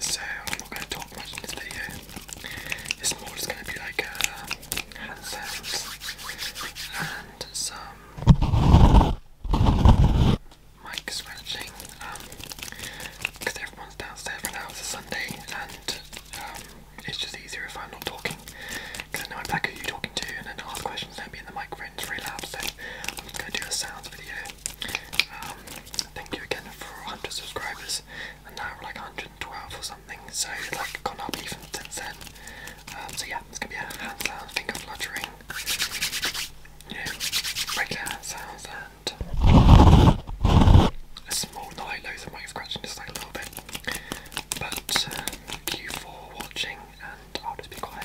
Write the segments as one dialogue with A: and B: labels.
A: So I'm not going to talk much in this video. It's more just going to be like uh, hand and some mic scratching. Because um, everyone's downstairs right It's a Sunday and um, it's just easier if I'm not talking. Because I know exactly who you talking to, and then ask questions, don't be in the microphone, it's So I'm going to do a sounds video. Um, thank you again for 100 subscribers, and now we're like 112 or something, so like gone up even since then. Um, so yeah, it's going to be a hand sound, finger fluttering, you know, regular sounds, and a small, not loads of mic scratching, just like a little bit. But uh, thank you for watching, and I'll just be quiet.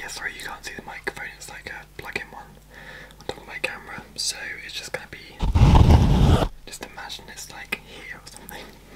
A: yeah, sorry you can't see the microphone, it's like a plug in one on top of my camera, so it's just gonna be. Just imagine it's like here or something.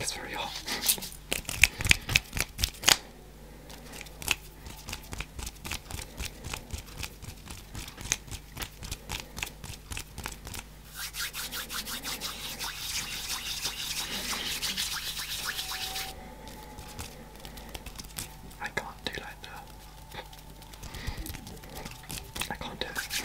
A: It's very hot. I can't do like that. I can't do it.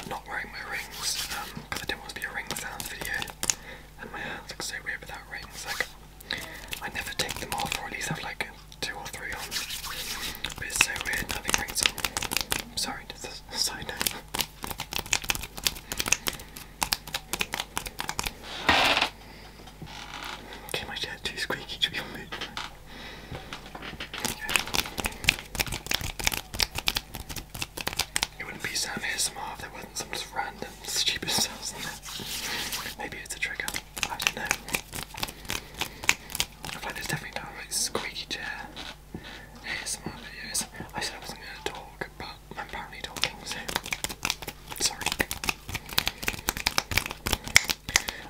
A: I'm not wearing my rings because um, I didn't want to be a ring sound video, and my hands look so weird without rings. Like I never take them off, or at least have like two or three on. But it's so weird, nothing rings on. I'm sorry, this a side
B: Okay, my dad's too squeaky to be mood.
A: It wouldn't be Sam ASMR if there wasn't some just random stupid sounds in there. Maybe it's a trigger. I don't know. I feel like definitely not a squeaky chair ASMR videos. I said I wasn't going to talk, but I'm apparently talking, so sorry.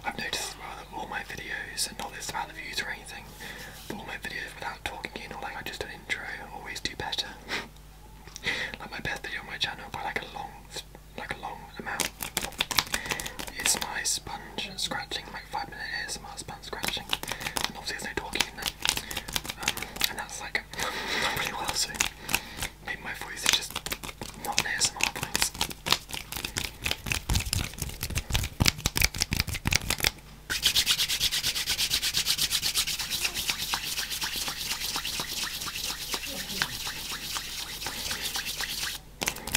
A: I've noticed as well that all my videos, and not this about the views or anything, but all my videos without talking in or like I just do an intro always do better. like my best video on my channel by like a long like a long amount. It's my spun scratch, scratching, like five minutes, minute my span scratching, and obviously there's no talking um, and that's like not really what Maybe my voice is just not an ASMR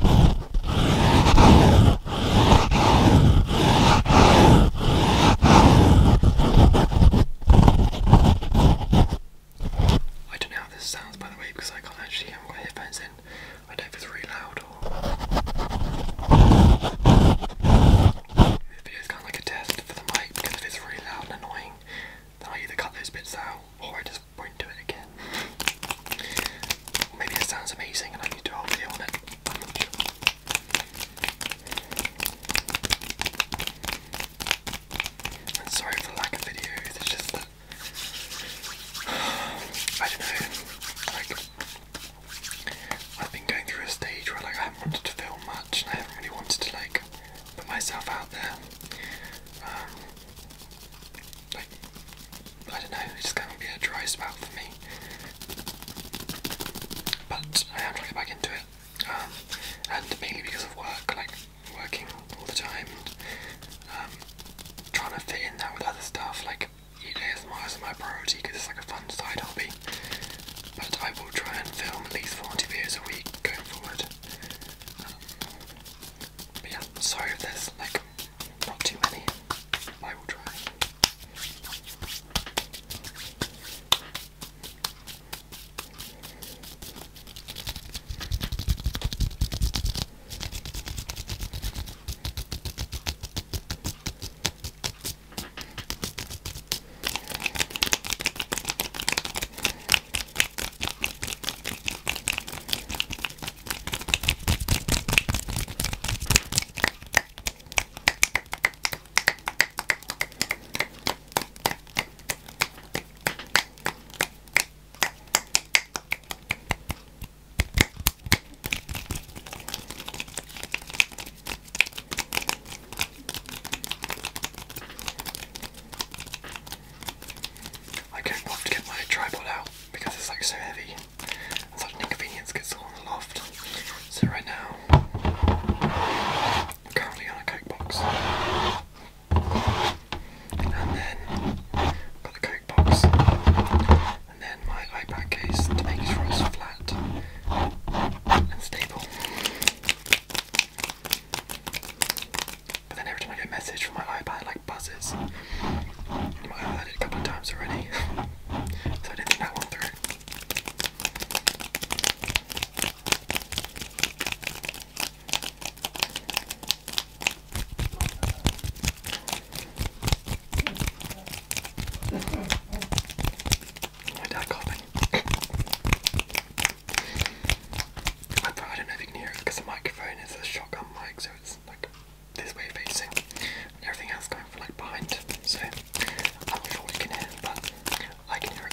A: I don't know how this sounds by the way because I can't actually have my headphones in. I don't know if it's really loud or this video is kind of like a test for the mic because if it's really loud and annoying then I either cut those bits out or I just won't do it again. Maybe it sounds amazing and I need to do a video on it. I'm not sure. I'm sorry for the lack of videos, it's just I don't know, like I've been going through a stage where like I haven't wanted to film much and I haven't really wanted to like put myself out there. Um, like, I don't know, it's going to be a dry spell for me. But I am trying to get back into it, um, and mainly because of work, like working all the time, and um, trying to fit in that with other stuff, like eat is my priority because it's like a fun side hobby. But I will try and film at least 40 videos a week going forward. Um, but yeah, sorry if there's like not too many. I will try. I can not want to get my tripod out because it's like so heavy such an inconvenience gets all in the loft. So right now, currently on a coke box. And then, i the coke box. And then my iPad case to make sure it's flat and stable. But then every time I get a message from my iPad, like, buzzes. Well, I had it a couple of times already, so I didn't think that one through. My dad called I don't know if you can hear it because the microphone is a shotgun mic, so it's like this way facing, everything else going for like behind. So I'm not sure what you can hear, but I can hear it.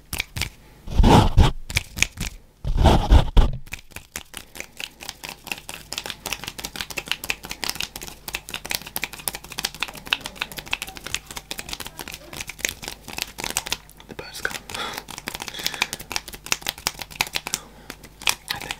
B: The bird's gone. I think.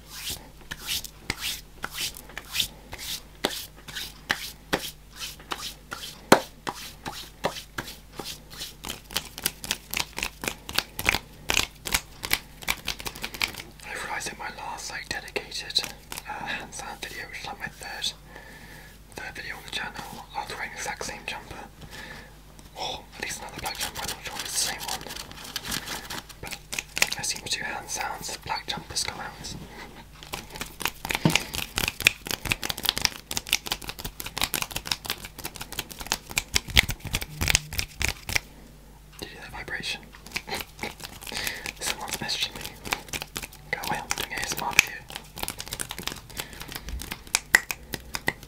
A: I realised in my last like dedicated uh, hands-on video, which is like my third, third video on the channel, I was wearing the exact same jumper Oh, at least another black jumper, I'm not sure it's the same one. But I seem to hand sounds black jumpers come Did you hear that vibration? Someone's messaging me. Go away, I'm doing ASMR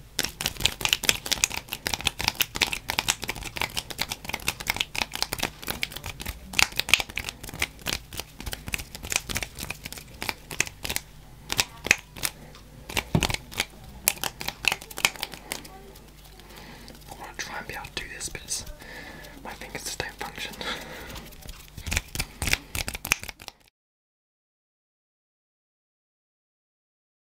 A: I want to try and be able to do this, but it's, my fingers just don't function.